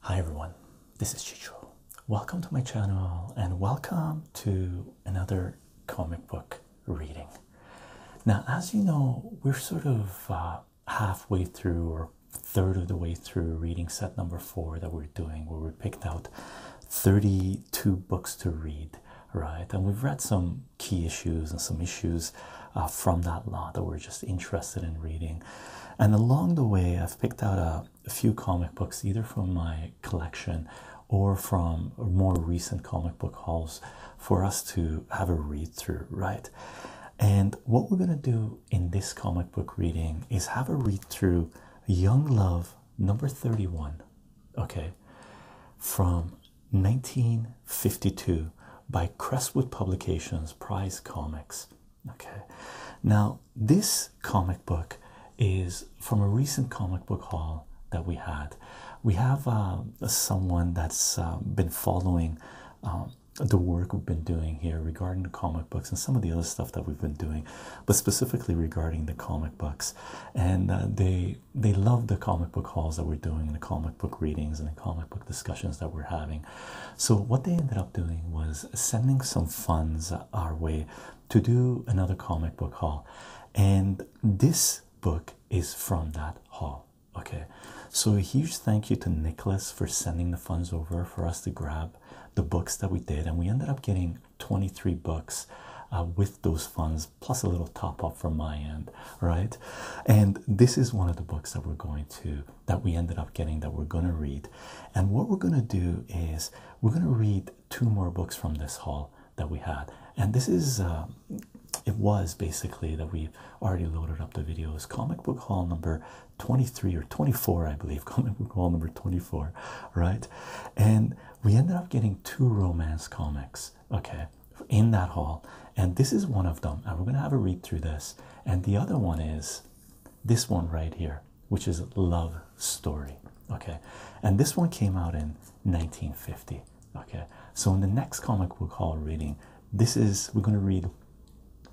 Hi everyone, this is Chicho. Welcome to my channel and welcome to another comic book reading. Now, as you know, we're sort of uh, halfway through or third of the way through reading set number four that we're doing, where we picked out 32 books to read, right? And we've read some key issues and some issues uh, from that lot that we're just interested in reading and along the way, I've picked out a, few comic books either from my collection or from more recent comic book hauls for us to have a read through, right? And what we're going to do in this comic book reading is have a read through Young Love number 31, okay, from 1952 by Crestwood Publications Prize Comics. Okay, now this comic book is from a recent comic book haul that we had. We have uh, someone that's uh, been following um, the work we've been doing here regarding the comic books and some of the other stuff that we've been doing, but specifically regarding the comic books. And uh, they they love the comic book hauls that we're doing, and the comic book readings, and the comic book discussions that we're having. So, what they ended up doing was sending some funds our way to do another comic book haul, and this book is from that haul. Okay, so a huge thank you to Nicholas for sending the funds over for us to grab the books that we did, and we ended up getting 23 books uh, with those funds plus a little top up from my end, right? And this is one of the books that we're going to that we ended up getting that we're going to read. And what we're going to do is we're going to read two more books from this haul that we had. And this is, um, it was basically that we already loaded up the videos. Comic book haul number 23 or 24, I believe. Comic book haul number 24, right? And we ended up getting two romance comics, okay, in that haul. And this is one of them. And we're going to have a read through this. And the other one is this one right here, which is Love Story. Okay, and this one came out in 1950. Okay, so in the next comic book haul reading, this is we're going to read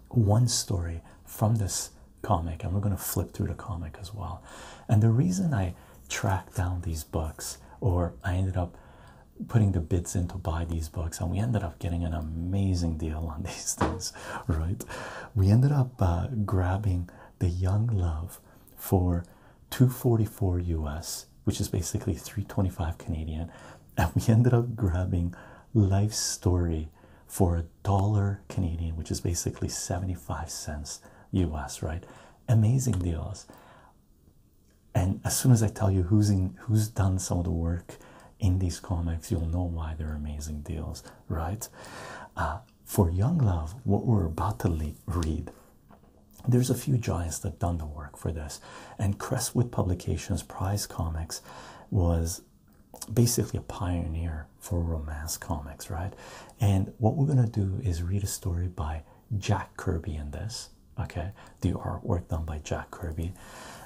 one story from this comic and we're going to flip through the comic as well. And the reason I tracked down these books or I ended up putting the bids in to buy these books and we ended up getting an amazing deal on these things, right? We ended up uh, grabbing the Young Love for 244 US, which is basically 325 Canadian, and we ended up grabbing Life Story for a dollar Canadian, which is basically 75 cents US, right? Amazing deals. And as soon as I tell you who's in who's done some of the work in these comics, you'll know why they're amazing deals, right? Uh, for Young Love, what we're about to read, there's a few giants that done the work for this, and Crestwood Publications Prize Comics was basically a pioneer for romance comics, right? And what we're gonna do is read a story by Jack Kirby in this, okay? The artwork done by Jack Kirby,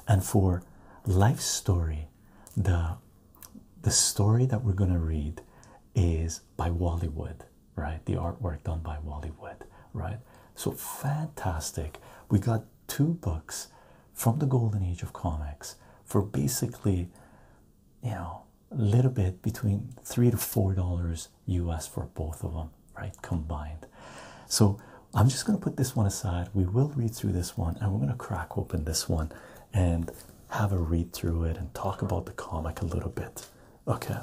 and for Life Story the the story that we're gonna read is by Wally Wood, right? The artwork done by Wally Wood, right? So fantastic. We got two books from the golden age of comics for basically, you know, a little bit between three to four dollars US for both of them, right? Combined. So I'm just going to put this one aside. We will read through this one and we're going to crack open this one and have a read through it and talk about the comic a little bit. Okay.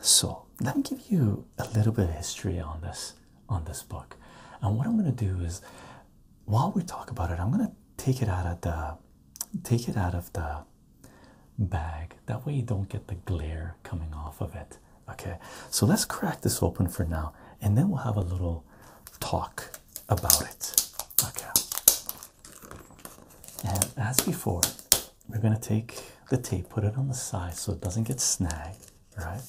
So let me give you a little bit of history on this on this book. And what I'm going to do is while we talk about it, I'm going to take it out of the take it out of the bag. That way you don't get the glare coming off of it. Okay, so let's crack this open for now and then we'll have a little talk about it. Okay, and as before, we're going to take the tape, put it on the side so it doesn't get snagged, right?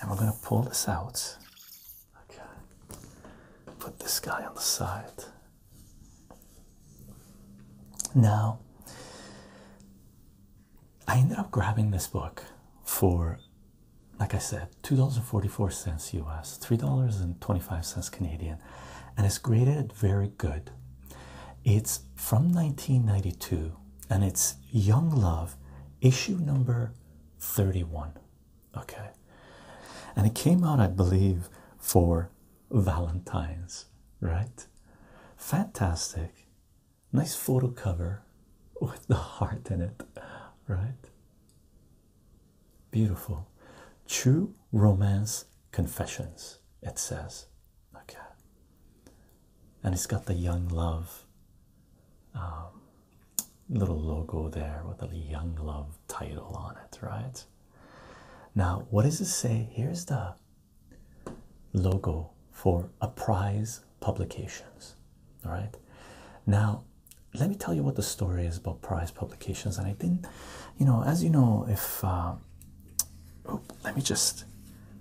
And we're going to pull this out. Okay, put this guy on the side. Now, I ended up grabbing this book for, like I said, $2.44 US, $3.25 Canadian, and it's graded very good. It's from 1992 and it's Young Love, issue number 31. Okay. And it came out, I believe, for Valentine's, right? Fantastic. Nice photo cover with the heart in it, right? Beautiful. True romance confessions, it says. Okay. And it's got the young love um, little logo there with the young love title on it, right? Now, what does it say? Here's the logo for a prize Publications. All right, now let me tell you what the story is about Prize Publications. And I didn't, you know, as you know, if uh, let me just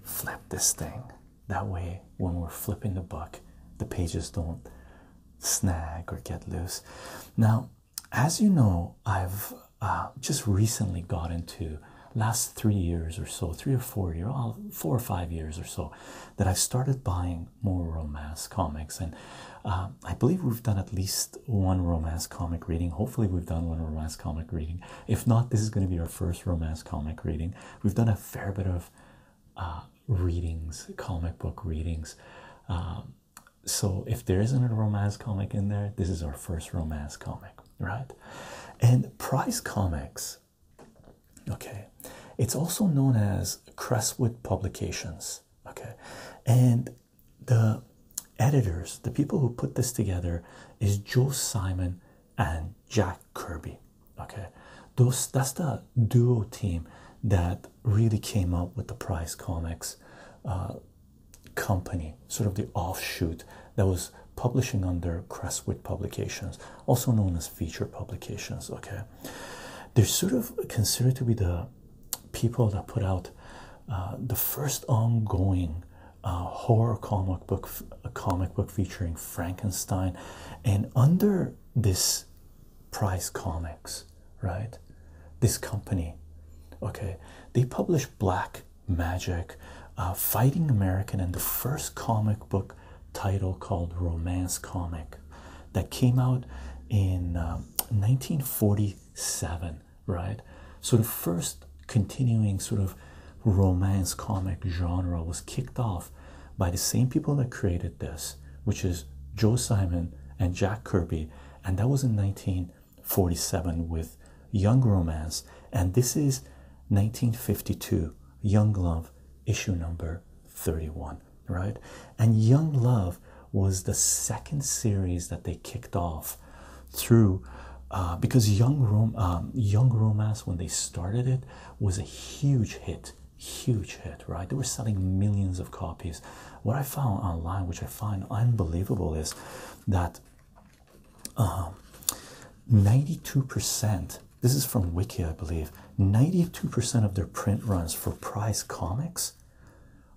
flip this thing that way when we're flipping the book, the pages don't snag or get loose. Now, as you know, I've uh, just recently got into last three years or so, three or four year, well, four or five years or so, that I've started buying more romance comics, and uh, I believe we've done at least one romance comic reading. Hopefully, we've done one romance comic reading. If not, this is going to be our first romance comic reading. We've done a fair bit of uh, readings, comic book readings. Um, so if there isn't a romance comic in there, this is our first romance comic right? And Price Comics, okay, it's also known as Crestwood Publications, okay, and the editors, the people who put this together, is Joe Simon and Jack Kirby, okay. Those that's the duo team that really came up with the Price Comics uh, company sort of the offshoot that was publishing under Crestwood Publications, also known as Feature Publications. Okay, they're sort of considered to be the people that put out uh, the first ongoing uh, horror comic book, a comic book featuring Frankenstein, and under this Prize Comics, right? This company, okay, they publish black magic, uh, Fighting American, and the first comic book title called Romance Comic that came out in 1947, uh, right? So the first continuing sort of romance comic genre was kicked off by the same people that created this, which is Joe Simon and Jack Kirby, and that was in 1947 with. Young Romance, and this is 1952 Young Love issue number 31, right? And Young Love was the second series that they kicked off through uh, because Young, Rom um, Young Romance, when they started it, was a huge hit. Huge hit, right? They were selling millions of copies. What I found online, which I find unbelievable, is that um, 92%, this is from Wiki, I believe, 92% of their print runs for prize comics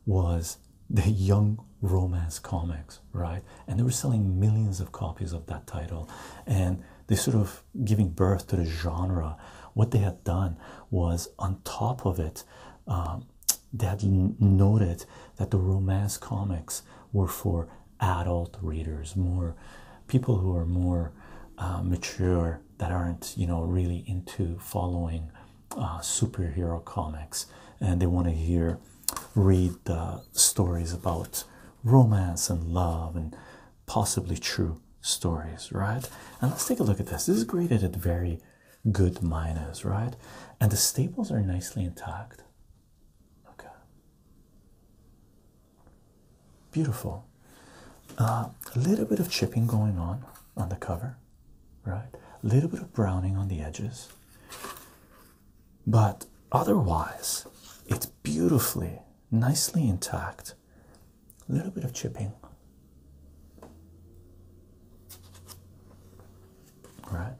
was the young romance comics, right? And they were selling millions of copies of that title. And they sort of giving birth to the genre. What they had done was on top of it, um, they had noted that the romance comics were for adult readers, more people who are more uh, mature that aren't, you know, really into following uh, superhero comics and they want to hear, read stories about romance and love and possibly true stories, right? And let's take a look at this. This is graded at very good minus, right? And the staples are nicely intact. Okay. Beautiful. Uh, a little bit of chipping going on on the cover, right? A little bit of browning on the edges. But otherwise, it's beautifully, nicely intact. A little bit of chipping. Right?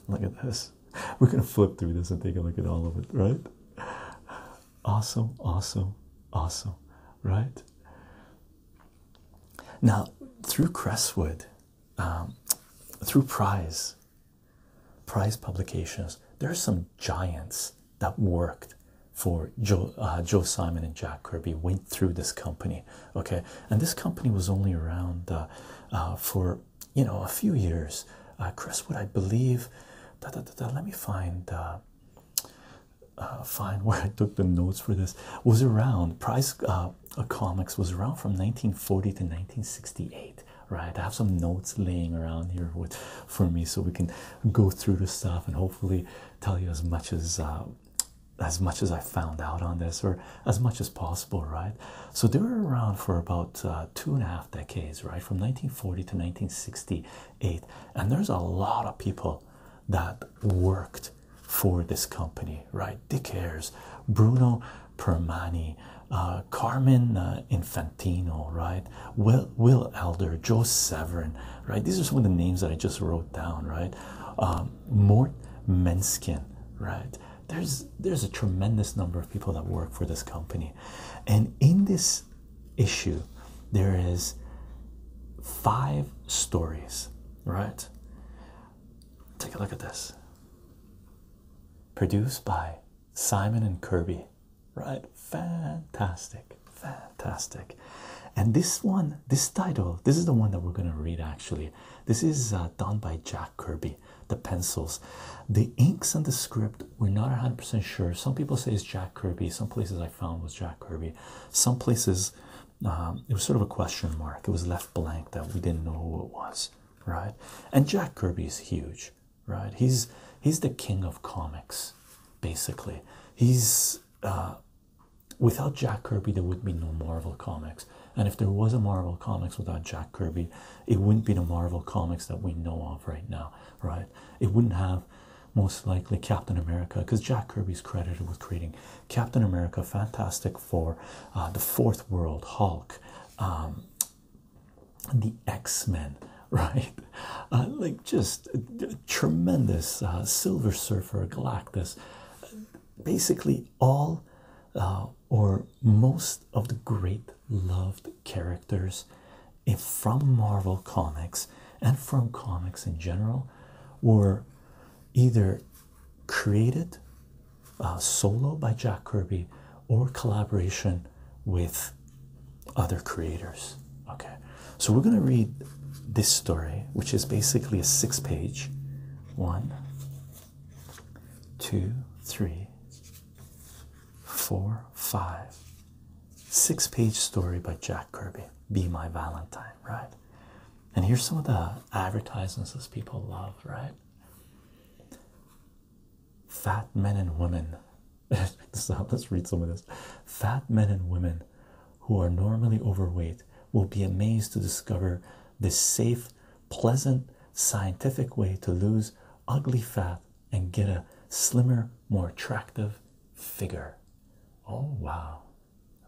Look at this. We're gonna flip through this and take a look at all of it, right? Awesome, awesome, awesome, right? Now, through Crestwood, um, through Prize, Prize Publications, there are some giants that worked for uh, Joe, Simon and Jack Kirby went through this company, okay? And this company was only around uh, uh, for you know a few years. Uh, Chris would I believe? Let me find uh, uh, find where I took the notes for this. Was around Price Comics was around from 1940 to 1968. Right, I have some notes laying around here with for me, so we can go through the stuff and hopefully tell you as much as as much as I found out on this, or as much as possible, right? So they were around for about uh, two and a half decades, right? From 1940 to 1968. And there's a lot of people that worked for this company, right? Dick Ayers, Bruno Permani, uh, Carmen uh, Infantino, right? Will, Will Elder, Joe Severin, right? These are some of the names that I just wrote down, right? Um, Mort Menskin, right? there's there's a tremendous number of people that work for this company and in this issue there is five stories right take a look at this produced by Simon and Kirby right fantastic fantastic and this one this title this is the one that we're going to read actually this is uh, done by Jack Kirby the pencils. The inks and the script, we're not 100% sure. Some people say it's Jack Kirby. Some places I found was Jack Kirby. Some places um, it was sort of a question mark. It was left blank that we didn't know who it was, right? And Jack Kirby is huge, right? He's he's the king of comics, basically. He's uh, without Jack Kirby, there would be no Marvel comics. And if there was a Marvel Comics without Jack Kirby, it wouldn't be the Marvel Comics that we know of right now, right? It wouldn't have most likely Captain America, because Jack Kirby's credited with creating Captain America, Fantastic Four, uh, the Fourth World, Hulk, um, the X Men, right? Uh, like just uh, tremendous Silver Surfer, Galactus, basically all or most of the great loved characters from Marvel Comics and from comics in general were either created uh, solo by Jack Kirby or collaboration with other creators. Okay, so we're going to read this story, which is basically a six page one, two, three, four, five, six page story by Jack Kirby, Be My Valentine, right? And here's some of the advertisements that people love, right? Fat men and women. let's read some of this. Fat men and women who are normally overweight will be amazed to discover this safe, pleasant, scientific way to lose ugly fat and get a slimmer, more attractive figure. Oh, wow.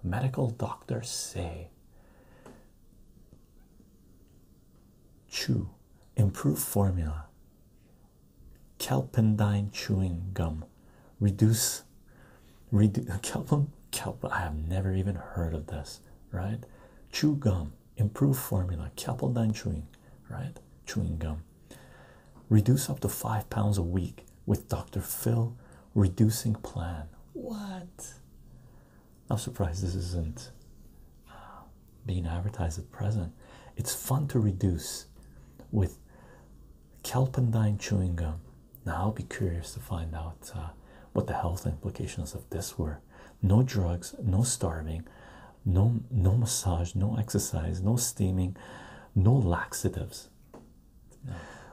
Medical doctors say. Chew. Improve formula. Kelpendine chewing gum. Reduce. Redu kelpen. Kelp. I have never even heard of this, right? Chew gum improve formula, Kaplan chewing, right? Chewing gum. Reduce up to five pounds a week with Dr. Phil reducing plan. What? Not surprised this isn't uh, being advertised at present. It's fun to reduce with Kelpendine chewing gum. Now I'll be curious to find out uh, what the health implications of this were no drugs no starving no no massage no exercise no steaming no laxatives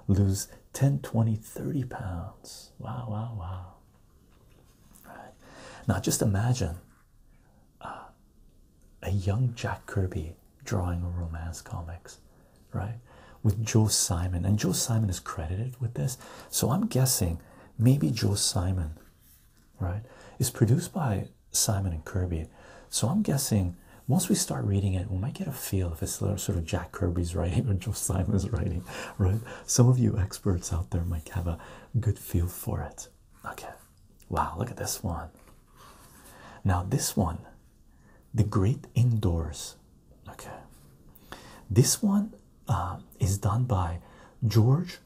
lose 10 20 30 pounds wow wow wow All right. now just imagine uh, a young jack kirby drawing a romance comics right with joe simon and joe simon is credited with this so i'm guessing maybe Joe Simon, right? Is produced by Simon and Kirby. So I'm guessing once we start reading it, we might get a feel if it's sort of Jack Kirby's writing or Joe Simon's writing, right? Some of you experts out there might have a good feel for it. Okay. Wow, look at this one. Now, this one, The Great Indoors. Okay. This one uh, is done by George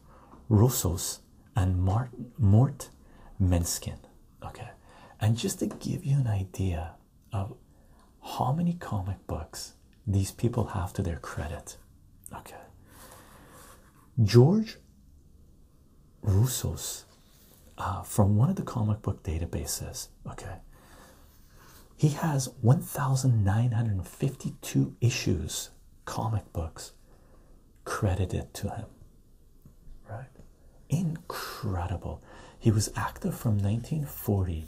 Russo's and Mart Mort Menskin. Okay, and just to give you an idea of how many comic books these people have to their credit. Okay, George Russo's uh, from one of the comic book databases. Okay, he has 1,952 issues, comic books credited to him. Right? Incredible. He was active from 1940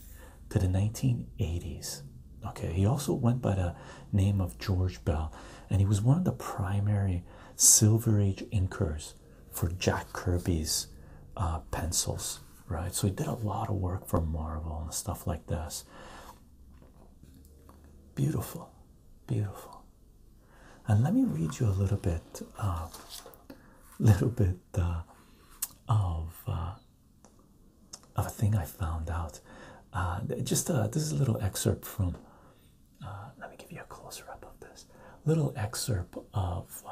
to the 1980s. Okay, he also went by the name of George Bell, and he was one of the primary Silver Age inkers for Jack Kirby's uh, pencils, right? So he did a lot of work for Marvel and stuff like this. Beautiful, beautiful. And let me read you a little bit, um, a little bit uh, of uh, of a thing I found out. Uh, just this is a little excerpt from. let me give you a closer up of this. Little excerpt of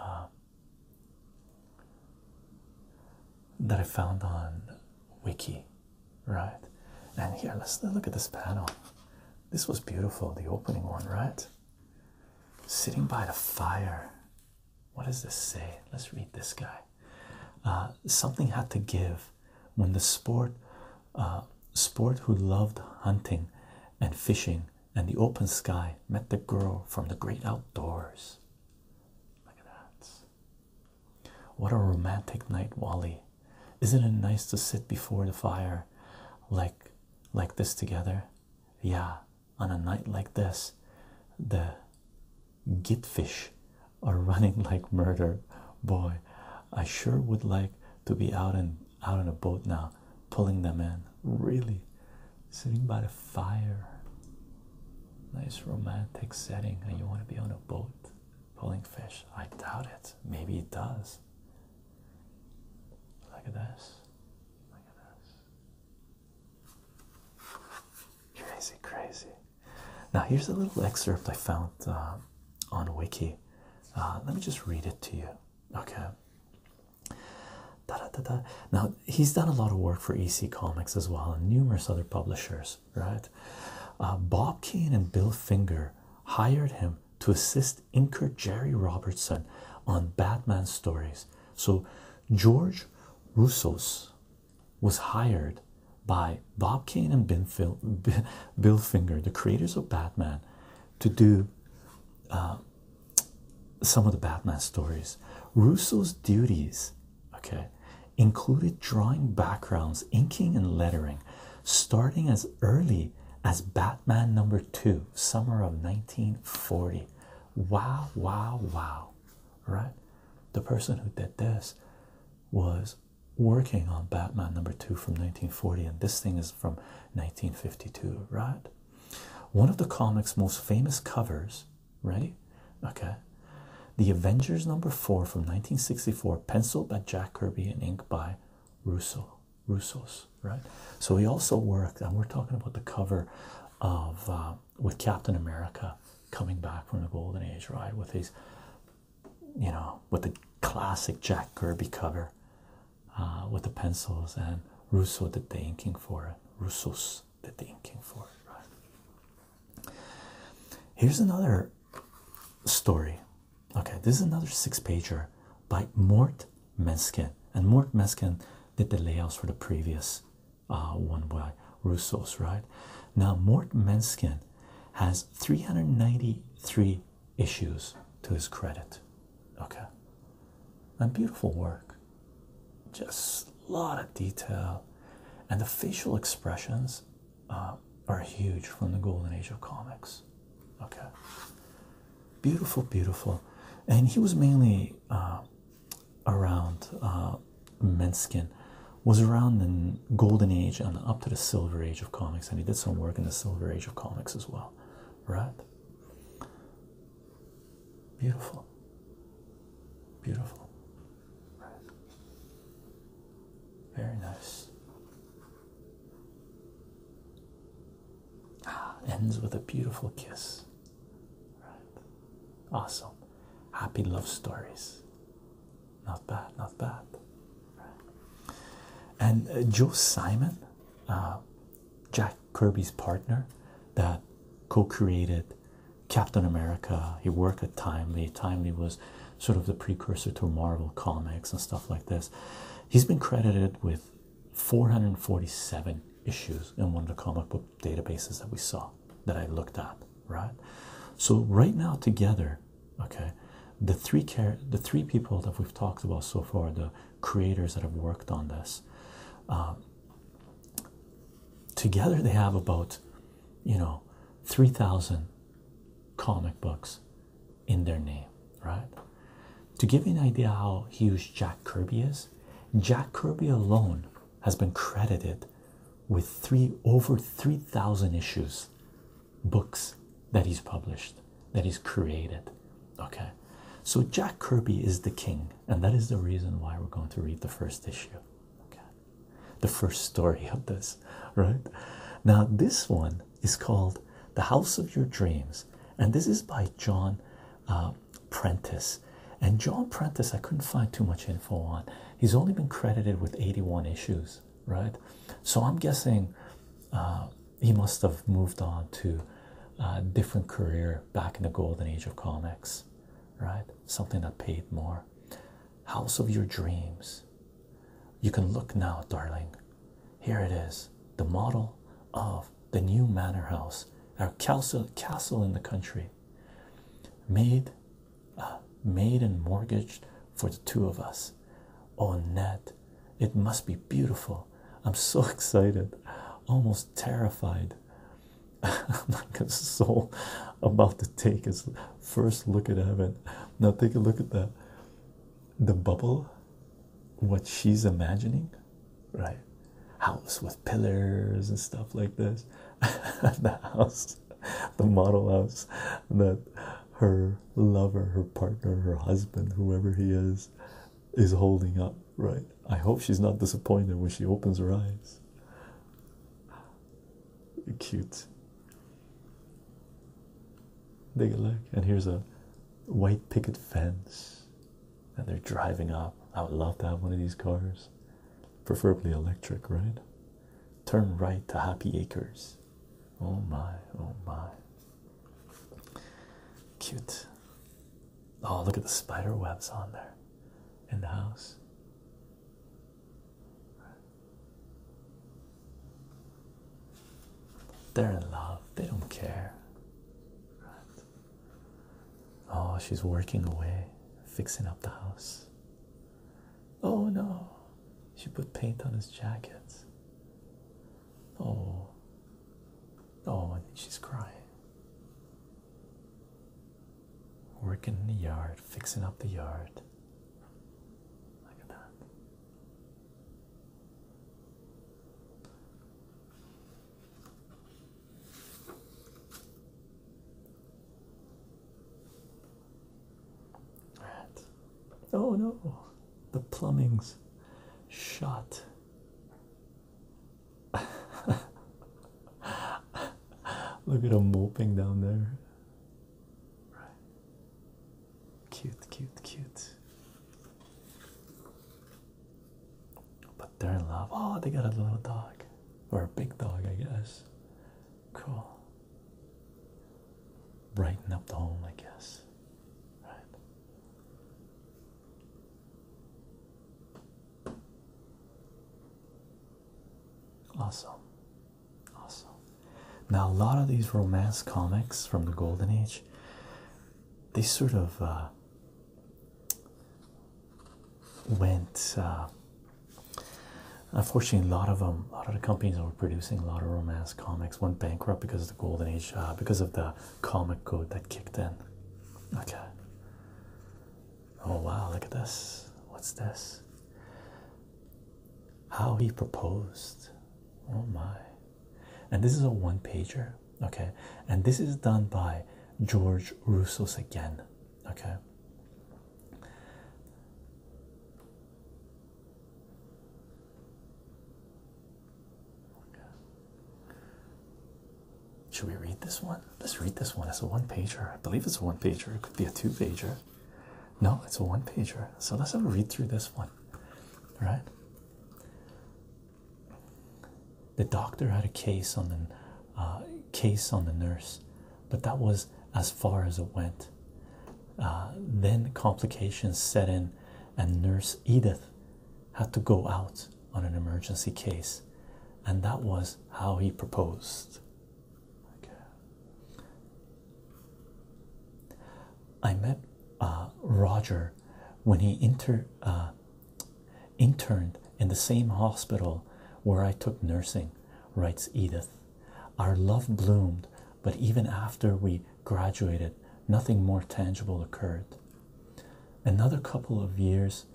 that I found on Wiki, right? And here, let's look at this panel. This was beautiful, the opening one, right? Sitting by the fire. What does this say? Let's read this guy. Uh, something had to give when the sport, uh, sport who loved hunting and fishing and the open sky met the girl from the great outdoors. Look at that. What a romantic night, Wally. Isn't it nice to sit before the fire like like this together? Yeah, on a night like this, the gitfish are running like murder. Boy, I sure would like to be out and out on a boat now, pulling them in. Really, sitting by the fire. Nice romantic setting, and you want to be on a boat pulling fish. I doubt it. Maybe it does. Look at this. Look at this. Crazy, crazy. Now, here's a little excerpt I found uh, on Wiki. Uh, let me just read it to you. Okay. Da, da, da, da. Now, he's done a lot of work for EC Comics as well and numerous other publishers right uh, bob kane and bill finger hired him to assist inker jerry robertson on batman stories so george russo's was hired by bob kane and bill finger the creators of batman to do uh, some of the batman stories russo's duties okay included drawing backgrounds inking and lettering starting as early as batman number two summer of 1940 wow wow wow right the person who did this was working on batman number two from 1940 and this thing is from 1952 right one of the comics most famous covers right? Okay. The Avengers number four from 1964, penciled by Jack Kirby and inked by Russo. Russo's, right? So he also worked, and we're talking about the cover of uh, with Captain America coming back from the Golden Age, right? With his, you know, with the classic Jack Kirby cover, uh, with the pencils, and Russo did the inking for Russo's, use the thinking for right? Here's another story. Okay, this is another six pager by Mort Meskin, and Mort Meskin did the layouts for the previous uh, one by Russo's, right? Now, Mort Meskin has 393 issues to his credit, okay, and beautiful work, just a lot of detail, and the facial expressions uh, are huge from the golden age of comics. Okay, beautiful, beautiful, and he was mainly uh, around uh, Minskin, was around in golden age and up to the silver age of comics, and he did some work in the silver age of comics as well, right? Beautiful, beautiful. Very nice. Ah, ends with a beautiful kiss. Right. Awesome. Happy love stories. Not bad, not bad. And uh, Joe Simon, uh, Jack Kirby's partner that co created Captain America. He worked at Timely. Timely was sort of the precursor to Marvel comics and stuff like this. He's been credited with 447 issues in one of the comic book databases that we saw that I looked up. right? So right now together, okay, the three care the three people that we've talked about so far, the creators that have worked on this, uh, together they have about you know, 3,000 comic books in their name, right? To give you an idea how huge Jack Kirby is, Jack Kirby alone has been credited with three over 3,000 issues, books that he's published, that he's created. Okay, so Jack Kirby is the king, and that is the reason why we're going to read the first issue. Okay, the first story of this, right? Now, this one is called The House of Your Dreams, and this is by John uh, Prentice. And John Prentice, I couldn't find too much info on. He's only been credited with 81 issues, right? So I'm guessing uh, he must have moved on to a uh, different career back in the golden age of comics, right? Something that paid more. House of your dreams. You can look now, darling. Here it is the model of the new manor house, our castle, castle in the country. Made, uh, made and mortgaged for the two of us. Oh, Ned, it must be beautiful. I'm so excited, almost terrified. I'm not about to take his first look at heaven. Now take a look at the the bubble, what she's imagining, right? House with pillars and stuff like this. the house, the model house that her lover, her partner, her husband, whoever he is, is holding up, right? I hope she's not disappointed when she opens her eyes. Cute. Take a look. And here's a white picket fence. And they're driving up. I would love to have one of these cars. Preferably electric, right? Turn right to Happy Acres. Oh my, oh my. Cute. Oh, look at the spider webs on there in the house. They're in love, they don't care. Oh, she's working away, fixing up the house. Oh no, she put paint on his jacket. Oh, oh, and she's crying. Working in the yard, fixing up the yard. Look at that. Oh no, the plumbing's shot. Look at him moping down there. Right. Cute, cute, cute. But they're in love. Oh, they got a little dog. Or a big dog, I guess. Cool. Brighten up the home, I guess. Right. Awesome. Awesome. Now, a lot of these romance comics from the Golden Age, they sort of uh, went. Uh, unfortunately, a lot of them, a lot of the companies that were producing a lot of romance comics went bankrupt because of the Golden Age, uh, because of the comic code that kicked in. Okay. Oh wow, look at this. What's this? How he proposed. Oh my. And this is a one pager. Okay. And this is done by George Russo's again. Okay. Should we read this one? Let's read this one. It's a one pager. I believe it's a one pager. It could be a two pager. No, it's a one pager. So let's have a read through this one. right? The doctor had a case on the uh, case on the nurse, but that was as far as it went. Uh, then complications set in, and Nurse Edith had to go out on an emergency case, and that was how he proposed. I met uh, Roger when he inter uh, interned in the same hospital where I took nursing, writes Edith. Our love bloomed, but even after we graduated, nothing more tangible occurred. Another couple of years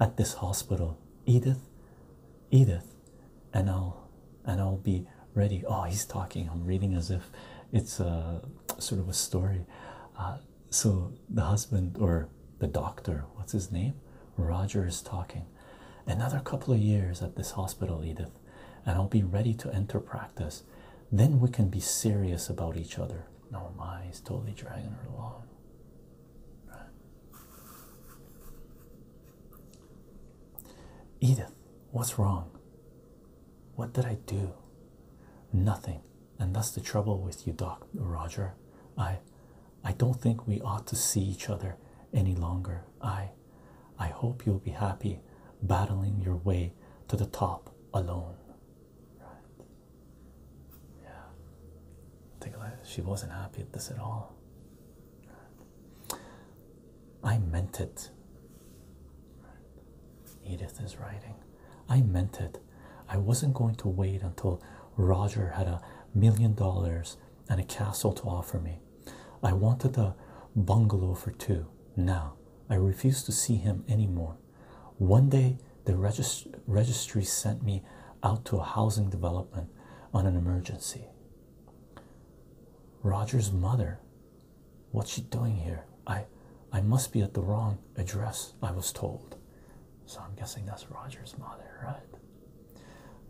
at this hospital, Edith, Edith and I'll and I'll be ready. Oh, he's talking. I'm reading as if it's a sort of a story. Uh, so the husband or the doctor, what's his name? Roger is talking. Another couple of years at this hospital, Edith, and I'll be ready to enter practice. Then we can be serious about each other. No, my, he's totally dragging her along. Edith, what's wrong? What did I do? Nothing, and that's the trouble with you, Doc Roger. I I don't think we ought to see each other any longer. I I hope you'll be happy battling your way to the top alone. Yeah. Think like she wasn't happy at this at all. I meant it. Edith is writing. I meant it. I wasn't going to wait until Roger had a million dollars and a castle to offer me. I wanted a bungalow for two. Now I refuse to see him anymore. One day the registry sent me out to a housing development on an emergency. Roger's mother, what's she doing here? I I must be at the wrong address, I was told. So I'm guessing that's Roger's mother, right?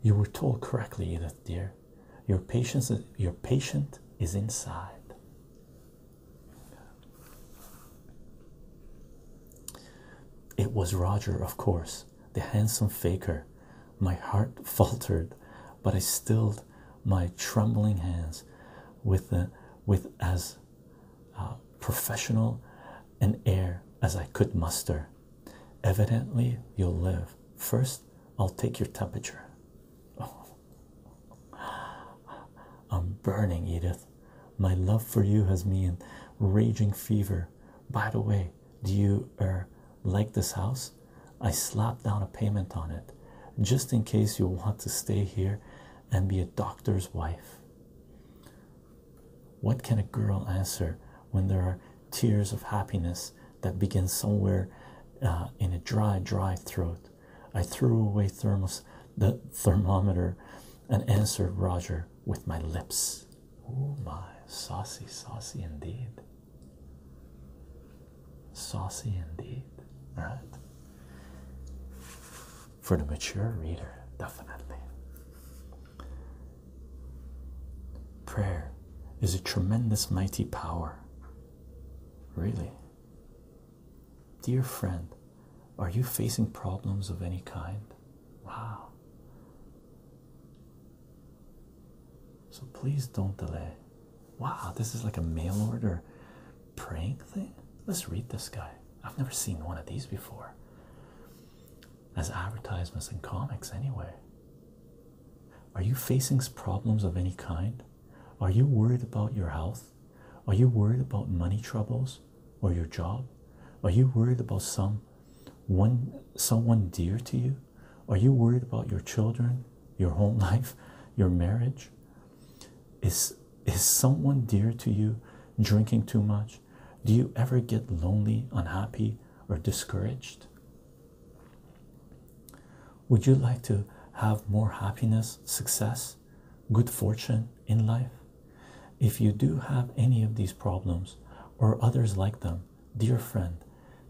You were told correctly, Edith dear. Your patience your patient is inside. It was Roger, of course, the handsome faker. My heart faltered, but I stilled my trembling hands with the, with as uh, professional an air as I could muster. Evidently, you'll live. First, I'll take your temperature. I'm burning, Edith. My love for you has me in raging fever. By the way, do you er, like this house? I slapped down a payment on it just in case you want to stay here and be a doctor's wife. What can a girl answer when there are tears of happiness that begin somewhere uh, in a dry, dry throat? I threw away thermos the thermometer and answered Roger with my lips. Oh my, saucy, saucy indeed. Saucy indeed, right? For the mature reader, definitely. Prayer is a tremendous, mighty power. Really. Dear friend, are you facing problems of any kind? Wow. So please don't delay. Wow, this is like a mail order praying thing. Let's read this guy. I've never seen one of these before. As advertisements in comics, anyway. Are you facing problems of any kind? Are you worried about your health? Are you worried about money troubles or your job? Are you worried about some one someone dear to you? Are you worried about your children, your home life, your marriage? Is is someone dear to you drinking too much? Do you ever get lonely, unhappy, or discouraged? Would you like to have more happiness, success, good fortune in life? If you do have any of these problems or others like them, dear friend,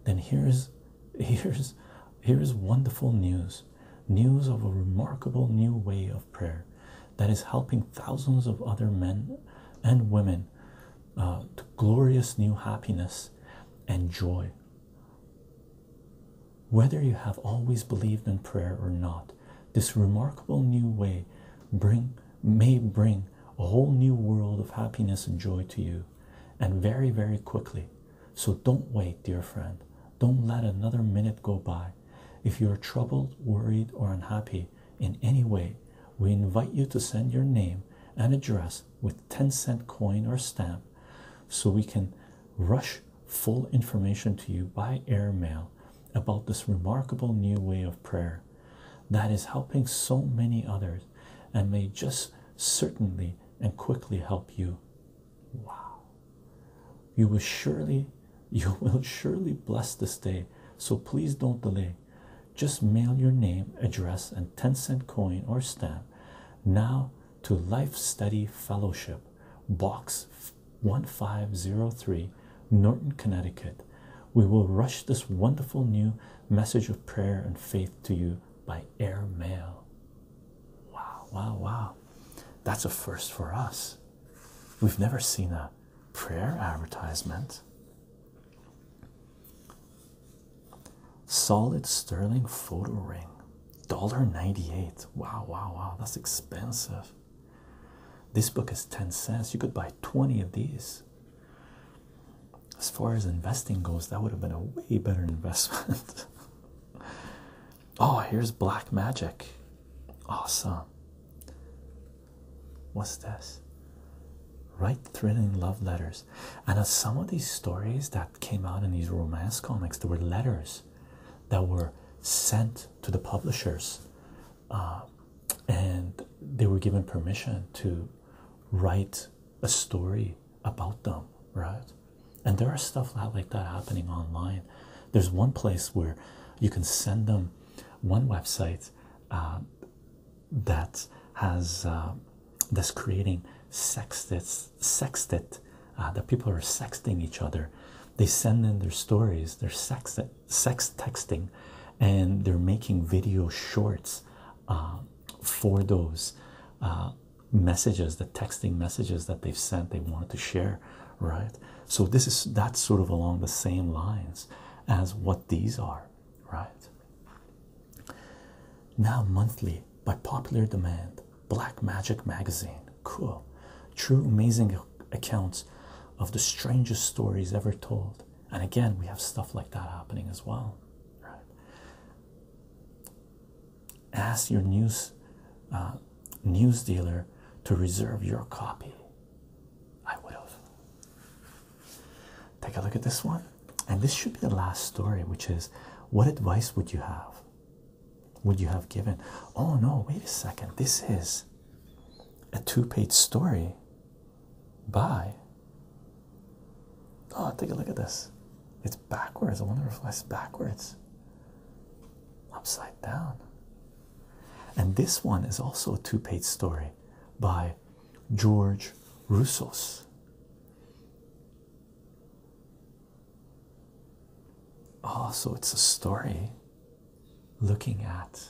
then here's here's here's wonderful news. News of a remarkable new way of prayer that is helping thousands of other men and women uh, to glorious new happiness and joy. Whether you have always believed in prayer or not, this remarkable new way bring may bring a whole new world of happiness and joy to you, and very, very quickly. So don't wait, dear friend. Don't let another minute go by. If you are troubled, worried, or unhappy in any way, we invite you to send your name and address with 10 cent coin or stamp so we can rush full information to you by air mail about this remarkable new way of prayer that is helping so many others and may just certainly and quickly help you. Wow. You will surely you will surely bless this day, so please don't delay. Just mail your name, address, and 10 cent coin or stamp now to Life Study Fellowship, Box 1503, Norton, Connecticut we will rush this wonderful new message of prayer and faith to you by air mail. Wow, wow, wow. That's a first for us. We've never seen a prayer advertisement. Solid sterling photo ring. dollar ninety-eight. Wow, wow, wow. That's expensive. This book is 10 cents. You could buy 20 of these. As far as investing goes, that would have been a way better investment. oh, here's Black Magic. Awesome. What's this? Write thrilling love letters. And some of these stories that came out in these romance comics, there were letters that were sent to the publishers um, and they were given permission to write a story about them, right? And there are stuff like that happening online. There's one place where you can send them one website uh, that has uh, that's creating sextets, sextet, uh, the people are sexting each other. They send in their stories, their sextet, sex texting and they're making video shorts uh, for those uh, messages the texting messages that they've sent they wanted to share right so this is that's sort of along the same lines as what these are right now monthly by popular demand black magic magazine cool true amazing accounts of the strangest stories ever told and again we have stuff like that happening as well ask your news uh, news dealer to reserve your copy i would have take a look at this one and this should be the last story which is what advice would you have would you have given oh no wait a second this is a two-page story by oh take a look at this it's backwards i wonder if it's backwards upside down and this one is also a two-page story by george Russo. oh so it's a story looking at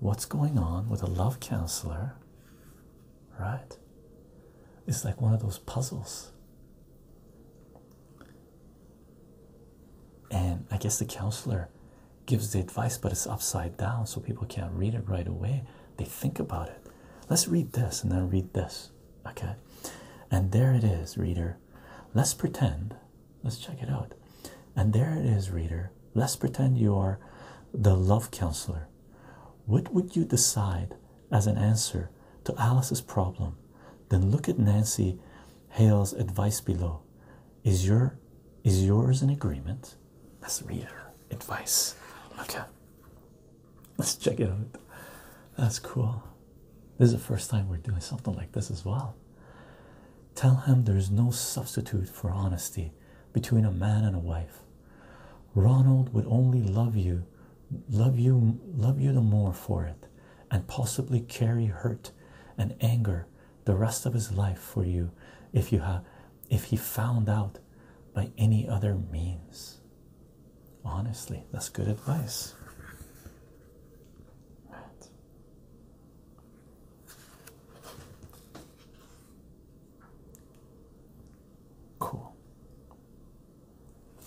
what's going on with a love counselor, right? It's like one of those puzzles. And I guess the counselor gives the advice, but it's upside down, so people can't read it right away. They think about it. Let's read this and then read this. Okay. And there it is, reader. Let's pretend Let's check it out. And there it is, reader. Let's pretend you are the love counselor. What would you decide as an answer to Alice's problem? Then look at Nancy Hale's advice below. Is your is yours an agreement? Let's advice. Okay. Let's check it out. That's cool. This is the first time we're doing something like this as well. Tell him there is no substitute for honesty between a man and a wife. Ronald would only love you, love you, love you the more for it, and possibly carry hurt and anger the rest of his life for you if you have if he found out by any other means. Honestly, that's good advice. Right. Cool.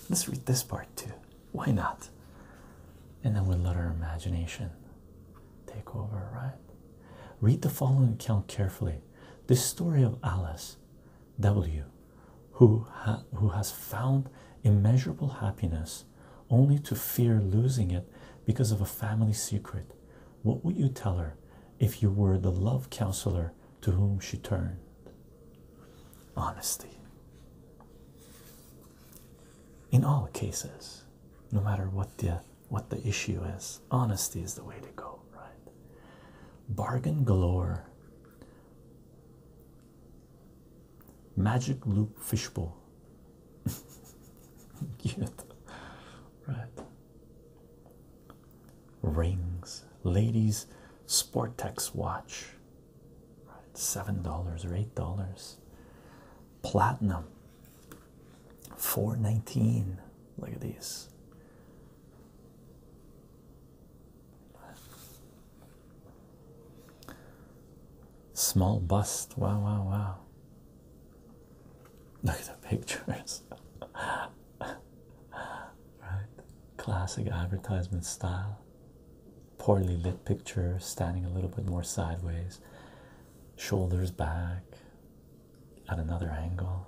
Let's read this part too. Why not? And then we'll let our imagination take over, right? Read the following account carefully. The story of Alice W, who, who has found immeasurable happiness only to fear losing it because of a family secret. What would you tell her if you were the love counselor to whom she turned? Honesty. In all cases, no matter what the what the issue is, honesty is the way to go, right? Bargain galore. Magic loop fishbowl. Cute, right? Rings, ladies, Sportex watch, right? Seven dollars or eight dollars. Platinum, four nineteen. Look at these. Small bust. Wow, wow, wow. Look at the pictures. right? Classic advertisement style. Poorly lit picture, standing a little bit more sideways, shoulders back at another angle.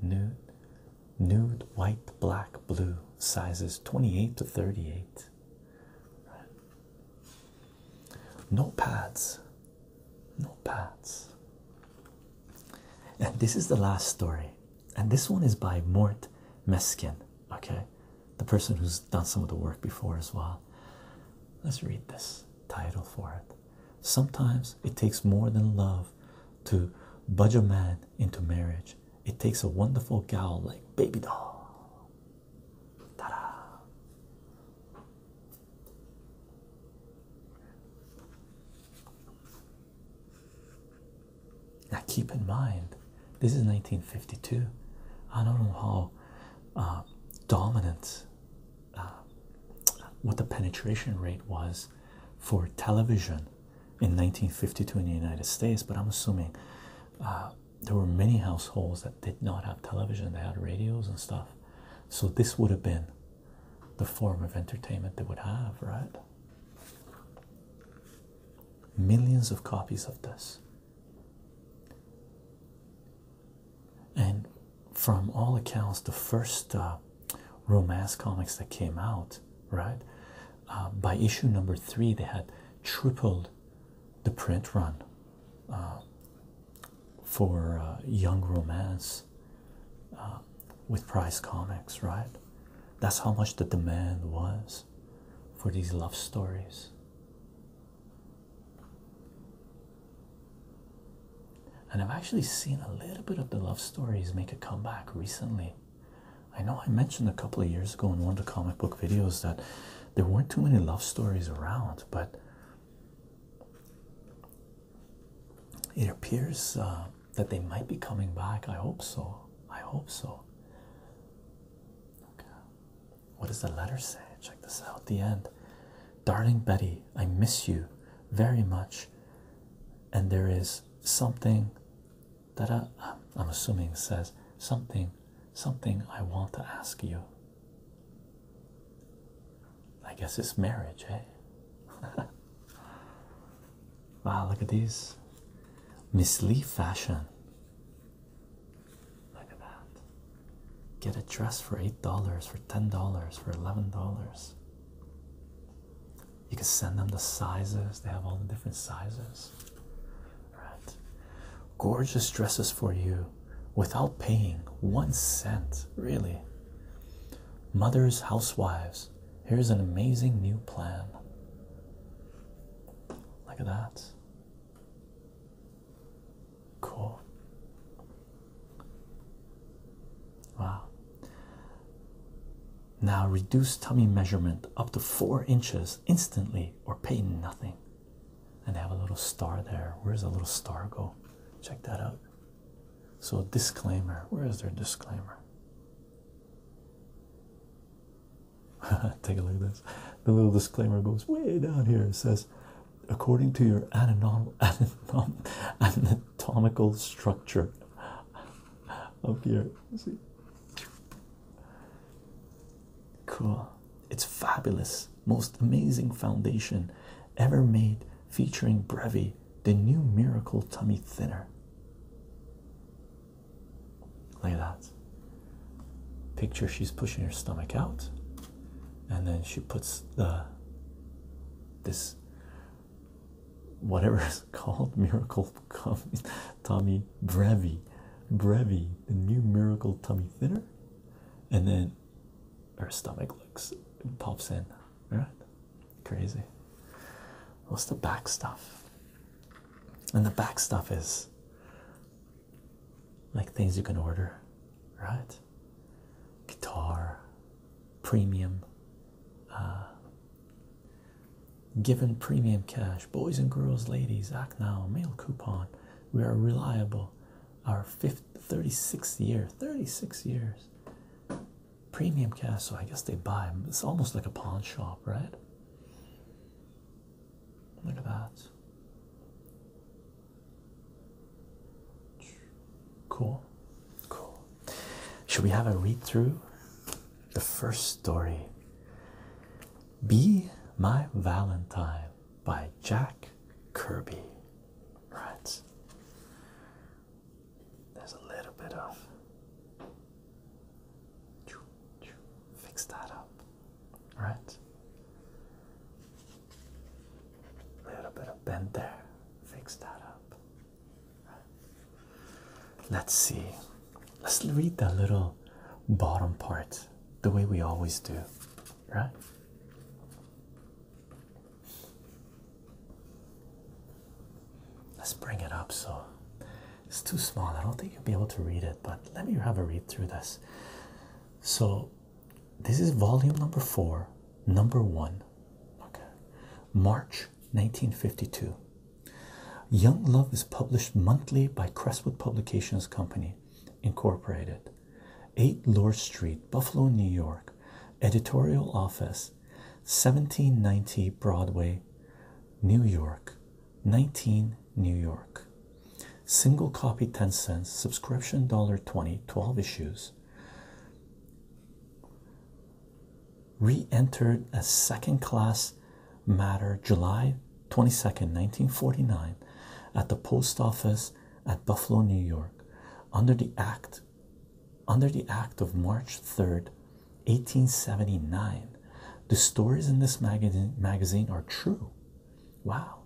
Nude, nude, white, black, blue, sizes 28 to 38. Right. No pads. No pads. And this is the last story. And this one is by Mort Meskin, okay? The person who's done some of the work before as well. Let's read this title for it. Sometimes it takes more than love to budge a man into marriage. It takes a wonderful gal like Baby Doll. Now keep in mind, this is 1952. I don't know how uh, dominant uh, what the penetration rate was for television in 1952 in the United States, but I'm assuming uh, there were many households that did not have television, they had radios and stuff. So, this would have been the form of entertainment they would have, right? Millions of copies of this. And from all accounts, the first uh, romance comics that came out, right, uh, by issue number three, they had tripled the print run uh, for uh, Young Romance uh, with Price Comics, right? That's how much the demand was for these love stories. And I've actually seen a little bit of the love stories make a comeback recently. I know I mentioned a couple of years ago in one of the comic book videos that there weren't too many love stories around, but it appears uh, that they might be coming back. I hope so. I hope so. Okay. What does the letter say? Check this out. The end. Darling Betty, I miss you very much. And there is something that I, uh, I'm assuming says something, something I want to ask you. I guess it's marriage, eh? wow, look at these. Miss Lee fashion. Look at that. Get a dress for $8, for $10, for $11. You can send them the sizes, they have all the different sizes right? Gorgeous dresses for you without paying one cent, really. Mother's housewives, here's an amazing new plan. Look at that. Cool. Wow. Now reduce tummy measurement up to four inches instantly or pay nothing and they have a little star there. Where does the little star go? Check that out. So, disclaimer where is their disclaimer? Take a look at this. The little disclaimer goes way down here. It says, according to your anatomical structure of here, see Cool. It's fabulous. Most amazing foundation ever made featuring Brevi, the new miracle tummy thinner. Look at that. Picture she's pushing her stomach out, and then she puts the this whatever it's called miracle tummy brevi brevi the new miracle tummy thinner and then her stomach looks pops in, right? Crazy. What's the back stuff? And the back stuff is like things you can order, right? Guitar, premium, uh, given premium cash, boys and girls, ladies, act now, mail coupon. We are reliable our fifth 36th year 36 years premium cast so i guess they buy them it's almost like a pawn shop right look at that cool cool should we have a read through the first story be my valentine by Jack Kirby. Right. There's a little bit of fix that up. Right. A little bit of bend there. Fix that up. Let's see. Let's read that little bottom part the way we always do right? Let's bring it up so it's too small. I don't think you'll be able to read it, but let me have a read through this. So, this is volume number four, number one, March 1952. Young Love is published monthly by Crestwood Publications Company, Incorporated. 8 Lore Street, Buffalo, New York, Editorial Office, 1790 Broadway, New York, 19 New York. Single copy 10 cents, subscription $1.20, 12 issues. Re entered as second class matter July 22nd, 1949, at the post office at Buffalo, New York, under the act under the act of March 3rd, 1879. The stories in this magazine magazine are true. Wow.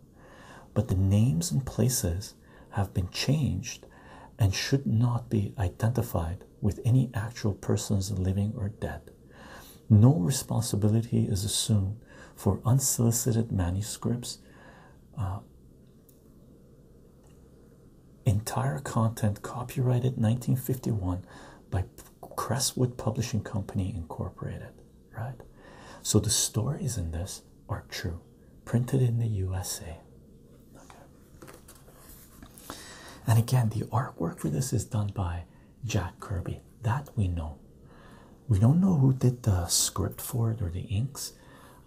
But the names and places have been changed and should not be identified with any actual persons living or dead. No responsibility is assumed for unsolicited manuscripts. Uh, entire content copyrighted 1951 by Crestwood Publishing Company Incorporated, right? So the stories in this are true, printed in the USA. And again, the artwork for this is done by Jack Kirby. That we know we don't know who did the script for it or the inks.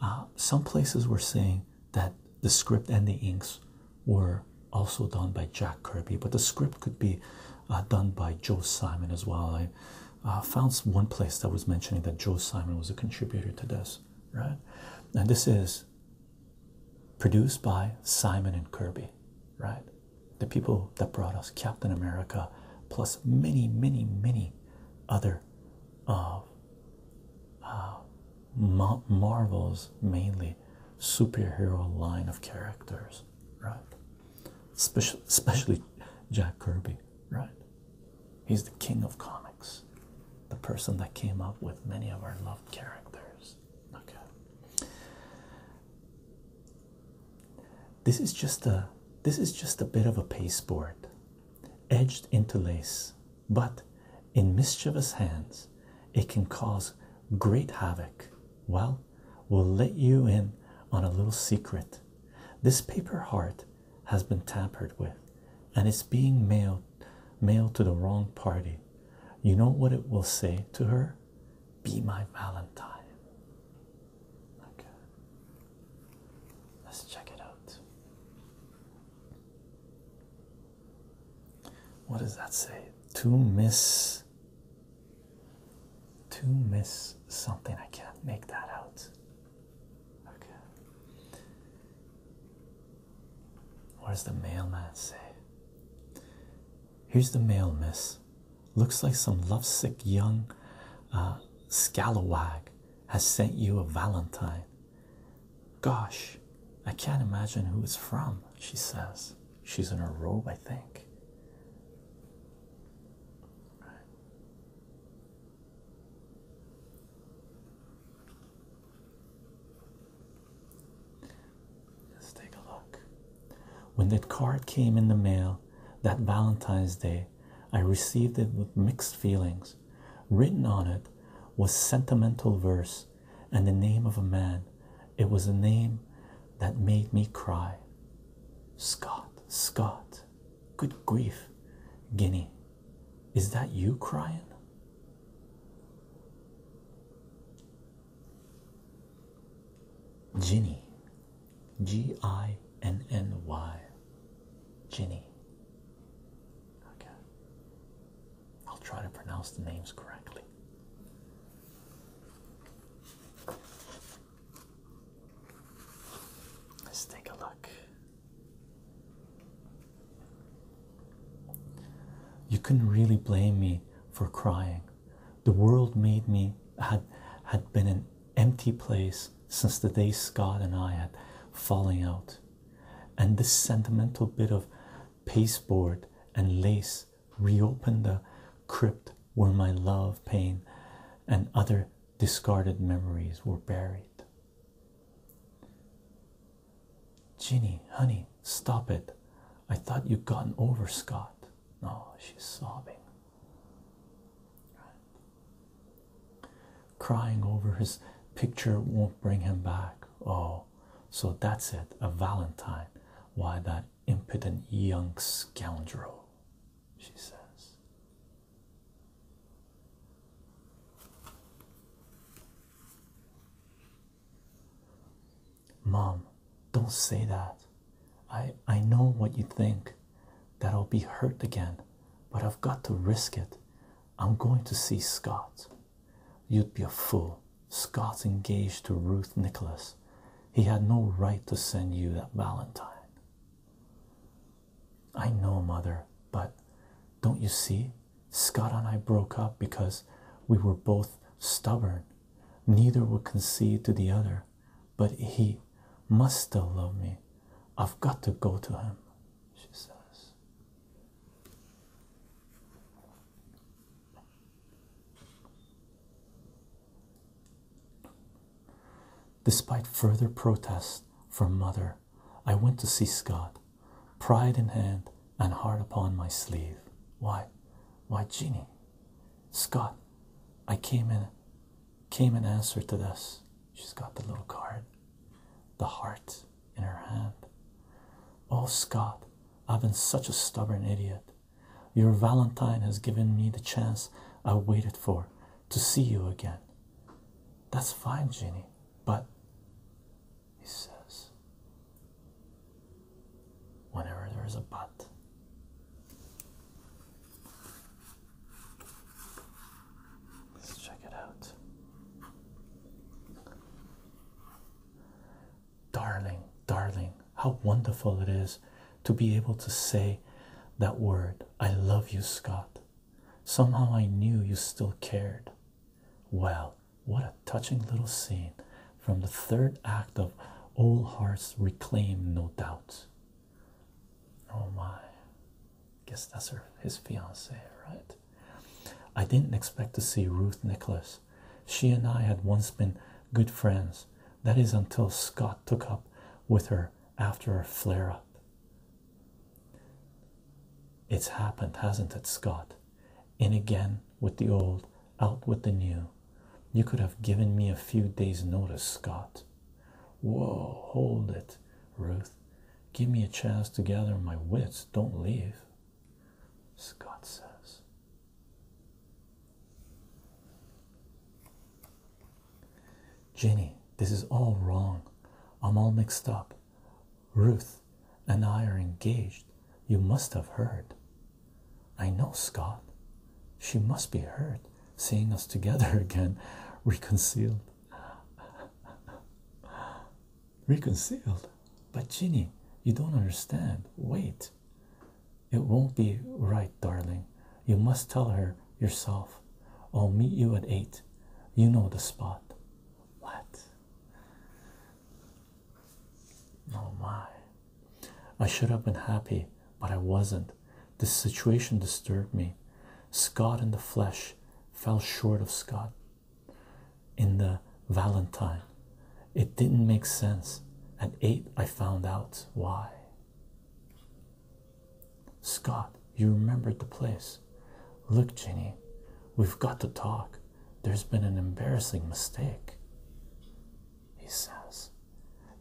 Uh, some places were saying that the script and the inks were also done by Jack Kirby, but the script could be uh, done by Joe Simon as well. I uh, found one place that was mentioning that Joe Simon was a contributor to this, right? And this is produced by Simon and Kirby, right? the people that brought us Captain America, plus many, many, many other of uh, uh, Marvel's mainly superhero line of characters, right? Especially, especially Jack Kirby, right? He's the king of comics, the person that came up with many of our loved characters. Okay. This is just a this is just a bit of a pasteboard, edged interlace, but in mischievous hands, it can cause great havoc. Well, we'll let you in on a little secret. This paper heart has been tampered with, and it's being mailed mailed to the wrong party. You know what it will say to her? Be my Valentine. Okay. Let's check it out. What does that say? To miss. To miss something. I can't make that out. Okay. What does the mailman say? Here's the mail, miss. Looks like some lovesick young uh, scalawag has sent you a valentine. Gosh, I can't imagine who it's from, she says. She's in her robe, I think. Let's take a look. When that card came in the mail that Valentine's Day, I received it with mixed feelings. Written on it was sentimental verse and the name of a man. It was a name that made me cry. Scott, Scott, good grief, Guinea, is that you crying? Ginny, G I N N Y. Ginny. Okay. I'll try to pronounce the names correctly. Let's take a look. You couldn't really blame me for crying. The world made me had had been an empty place since the day Scott and I had falling out, and this sentimental bit of pasteboard and lace reopened the crypt where my love, pain, and other discarded memories were buried. Ginny, honey, stop it. I thought you'd gotten over Scott. Oh, she's sobbing. Crying over his picture won't bring him back. Oh, so that's it. A Valentine. Why that impotent young scoundrel, she says. Mom, don't say that. I I know what you think that I'll be hurt again, but I've got to risk it. I'm going to see Scott. You'd be a fool. Scott's engaged to Ruth Nicholas. He had no right to send you that Valentine. I know, Mother, but don't you see? Scott and I broke up because we were both stubborn. Neither would concede to the other but he must still love me. I've got to go to him, she says. Despite further protest from mother, I went to see Scott, pride in hand and heart upon my sleeve. Why? Why, Jeannie? Scott, I came in came in answer to this. She's got the little card, the heart in her hand. Oh, Scott, I've been such a stubborn idiot. Your Valentine has given me the chance I waited for to see you again. That's fine, Jenny, but he says, whenever there is a but. Let's check it out. Darling, darling, how wonderful it is to be able to say that word. I love you, Scott. Somehow I knew you still cared. Well, what a touching little scene from the third act of Old Hearts Reclaim, no doubt. Oh my. Guess that's her his fiance, right? I didn't expect to see Ruth Nicholas. She and I had once been good friends. That is until Scott took up with her after her flare up. It's happened, hasn't it, Scott? In again with the old, out with the new. You could have given me a few days' notice, Scott. Whoa, hold it, Ruth. Give me a chance to gather my wits. Don't leave, Scott says. Ginny, this is all wrong. I'm all mixed up. Ruth and I are engaged. You must have heard. I know, Scott. She must be hurt seeing us together again, reconciled. reconciled. But Ginny, you don't understand. Wait. It won't be right, darling. You must tell her yourself. I'll meet you at eight. You know the spot. What? Oh my. I should have been happy, but I wasn't. The situation disturbed me. Scott in the flesh fell short of Scott in the Valentine. It didn't make sense. At 8, I found out why. Scott, you remembered the place. Look, Ginny, we've got to talk. There's been an embarrassing mistake he says.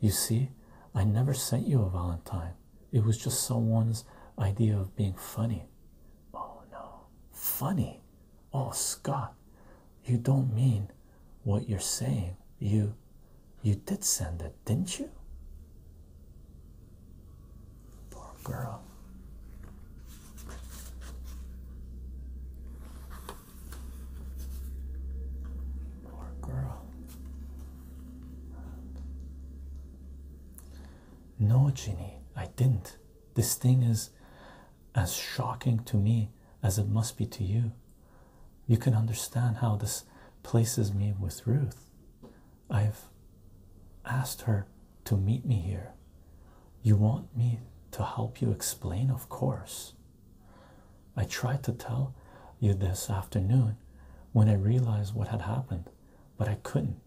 You see, I never sent you a Valentine. It was just someone's idea of being funny. Oh no, funny? Oh, Scott, you don't mean what you're saying. You. You did send it, didn't you? Poor girl. Poor girl. No, Ginny, I didn't. This thing is as shocking to me as it must be to you. You can understand how this places me with Ruth. I've asked her to meet me here. You want me to help you explain, of course. I tried to tell you this afternoon when I realized what had happened, but I couldn't.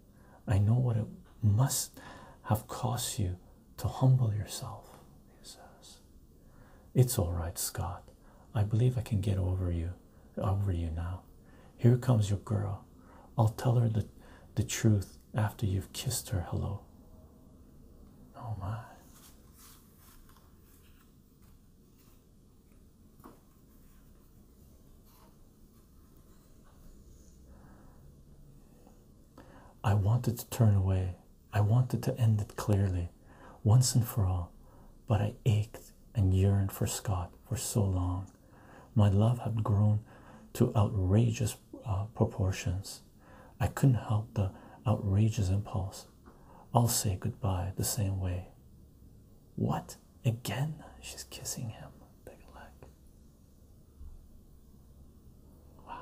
I know what it must have cost you to humble yourself, he says. It's all right, Scott. I believe I can get over you over you now. Here comes your girl. I'll tell her the, truth after you've kissed her hello. Oh my. I wanted to turn away. I wanted to end it clearly, once and for all, but I ached and yearned for Scott for so long. My love had grown to outrageous uh, proportions. I couldn't help the outrageous impulse I'll say goodbye the same way. What? Again? She's kissing him. Take a look.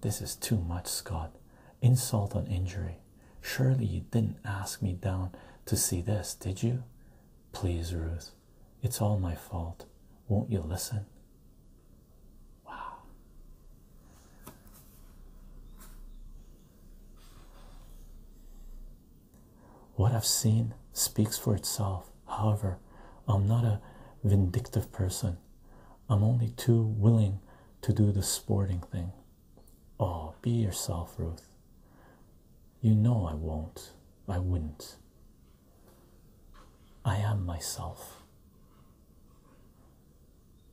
This is too much, Scott. Insult on injury. Surely you didn't ask me down to see this, did you? Please, Ruth. It's all my fault. Won't you listen? Wow. What I've seen speaks for itself. However, I'm not a vindictive person. I'm only too willing to do the sporting thing. Oh, be yourself, Ruth. You know I won't. I wouldn't. I am myself.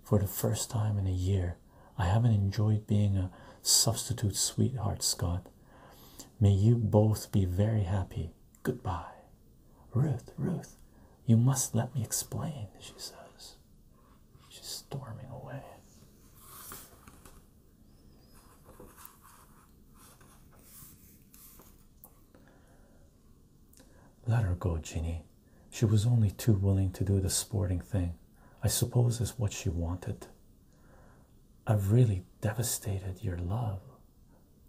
For the first time in a year, I haven't enjoyed being a substitute sweetheart, Scott. May you both be very happy. Goodbye. Ruth, Ruth, you must let me explain, she says. She's storming away. Let her go, Ginny. She was only too willing to do the sporting thing, I suppose, is what she wanted. I've really devastated your love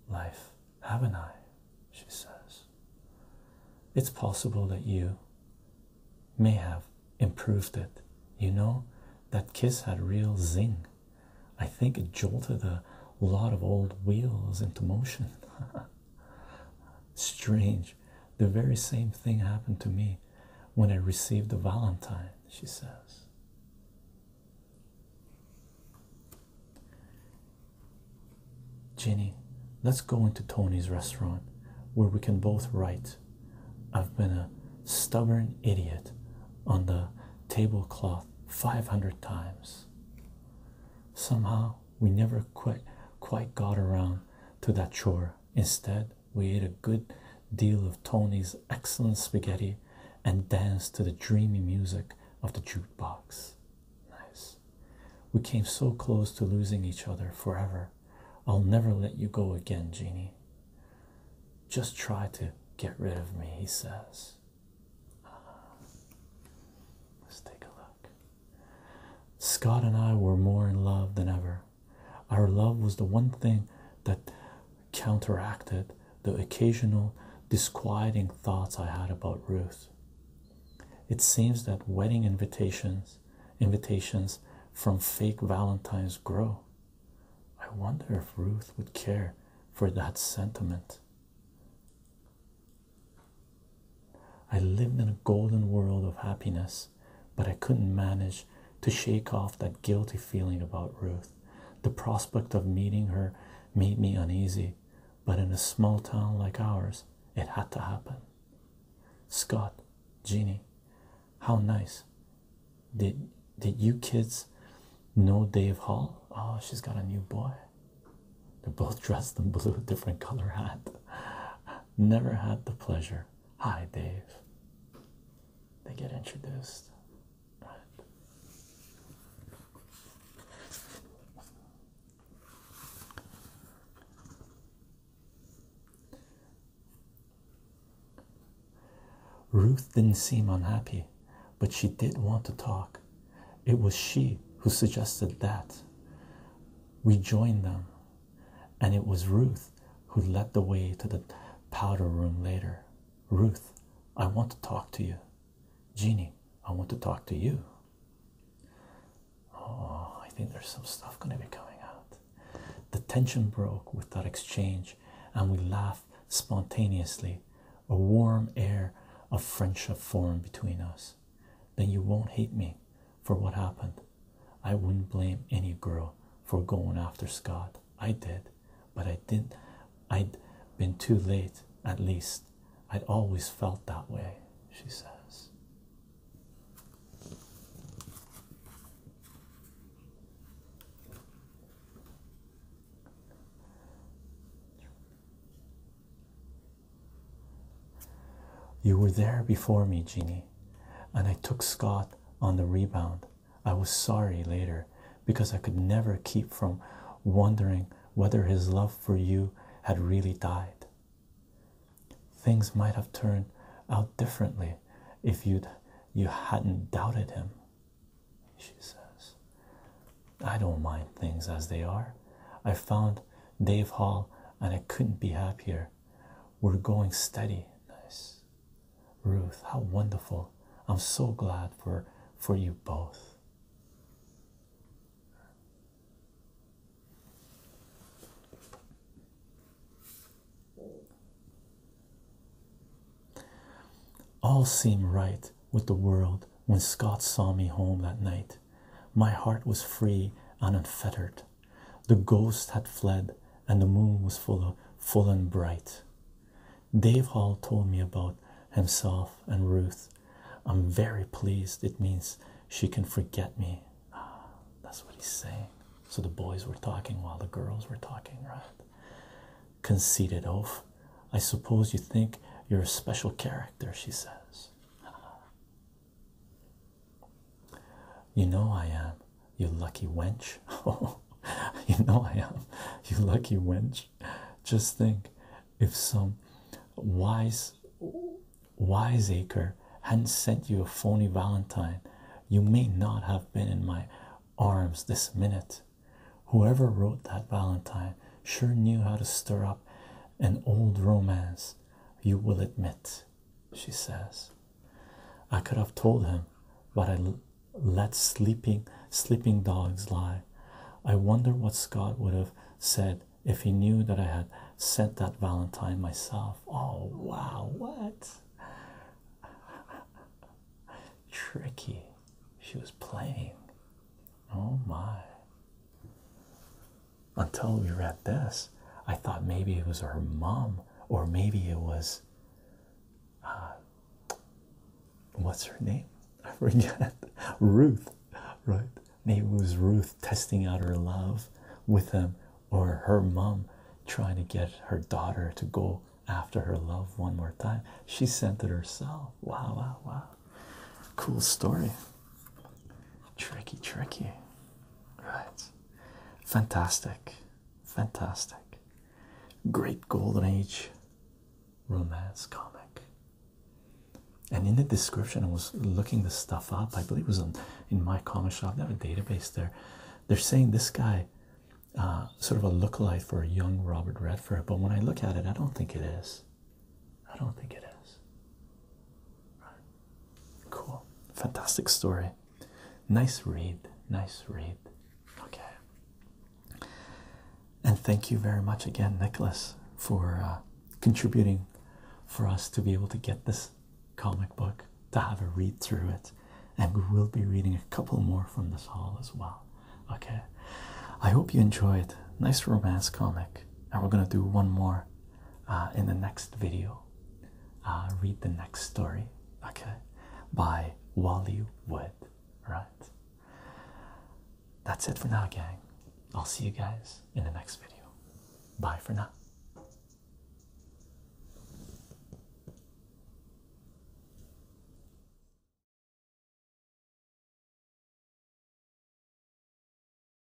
life, haven't I? She says. It's possible that you may have improved it. You know, that kiss had real zing. I think it jolted a lot of old wheels into motion. Strange the very same thing happened to me when I received the Valentine, she says. Ginny, let's go into Tony's restaurant where we can both write. I've been a stubborn idiot on the tablecloth 500 times. Somehow we never quite, quite got around to that shore. Instead, we ate a good deal of Tony's excellent spaghetti and danced to the dreamy music of the jukebox. Nice. We came so close to losing each other forever. I'll never let you go again, Jeannie. Just try to get rid of me, he says. Ah, let's take a look. Scott and I were more in love than ever. Our love was the one thing that counteracted the occasional disquieting thoughts I had about Ruth. It seems that wedding invitations invitations from fake Valentines grow. I wonder if Ruth would care for that sentiment. I lived in a golden world of happiness, but I couldn't manage to shake off that guilty feeling about Ruth. The prospect of meeting her made me uneasy, but in a small town like ours, it had to happen. Scott, Jeanie, how nice. Did did you kids know Dave Hall? Oh, she's got a new boy. They're both dressed in blue, different color hat. Never had the pleasure. Hi, Dave. They get introduced. Ruth didn't seem unhappy, but she did want to talk. It was she who suggested that. We joined them, and it was Ruth who led the way to the powder room later. Ruth, I want to talk to you. Jeannie, I want to talk to you. Oh, I think there's some stuff going to be coming out. The tension broke with that exchange, and we laughed spontaneously. A warm air of friendship formed between us then you won't hate me for what happened. I wouldn't blame any girl for going after Scott. I did, but I didn't. I'd been too late, at least. I'd always felt that way, she says. You were there before me, Jeannie, and I took Scott on the rebound. I was sorry later because I could never keep from wondering whether his love for you had really died. Things might have turned out differently if you'd you you had not doubted him, she says. I don't mind things as they are. I found Dave Hall, and I couldn't be happier. We're going steady. Nice. Ruth, how wonderful. I'm so glad for for you both. All seemed right with the world when Scott saw me home that night. My heart was free and unfettered. The ghost had fled, and the moon was full, full and bright. Dave Hall told me about himself and Ruth. I'm very pleased. It means she can forget me. Ah, that's what he's saying. So the boys were talking while the girls were talking, right? Conceited oaf. I suppose you think you're a special character, she says. Ah. You know I am, you lucky wench. you know I am, you lucky wench. Just think if some wise wiseacre hadn't sent you a phony valentine, you may not have been in my arms this minute. Whoever wrote that valentine sure knew how to stir up an old romance you will admit, she says. I could have told him, but I let sleeping sleeping dogs lie. I wonder what Scott would have said if he knew that I had sent that Valentine myself. Oh wow, what? Tricky. She was playing. Oh my. Until we read this, I thought maybe it was her mom, or maybe it was uh, what's her name? I forget. Ruth, right? Maybe it was Ruth testing out her love with him, or her mom trying to get her daughter to go after her love one more time. She sent it herself. Wow, wow, wow. Cool story. Tricky, tricky. Right. Fantastic. Fantastic. Great golden age romance comic. And in the description, I was looking this stuff up. I believe it was on in my comic shop. They have a database there. They're saying this guy uh, sort of a lookalike for a young Robert Redford, but when I look at it, I don't think it is. I don't think it is. Cool. Fantastic story. Nice read. Nice read. Okay. And thank you very much again, Nicholas, for uh, contributing for us to be able to get this comic book to have a read through it. And we will be reading a couple more from this hall as well. Okay. I hope you enjoyed. Nice romance comic. And we're going to do one more uh, in the next video. Uh, read the next story, okay, by Wally Wood, right? That's it for now, gang. I'll see you guys in the next video. Bye for now.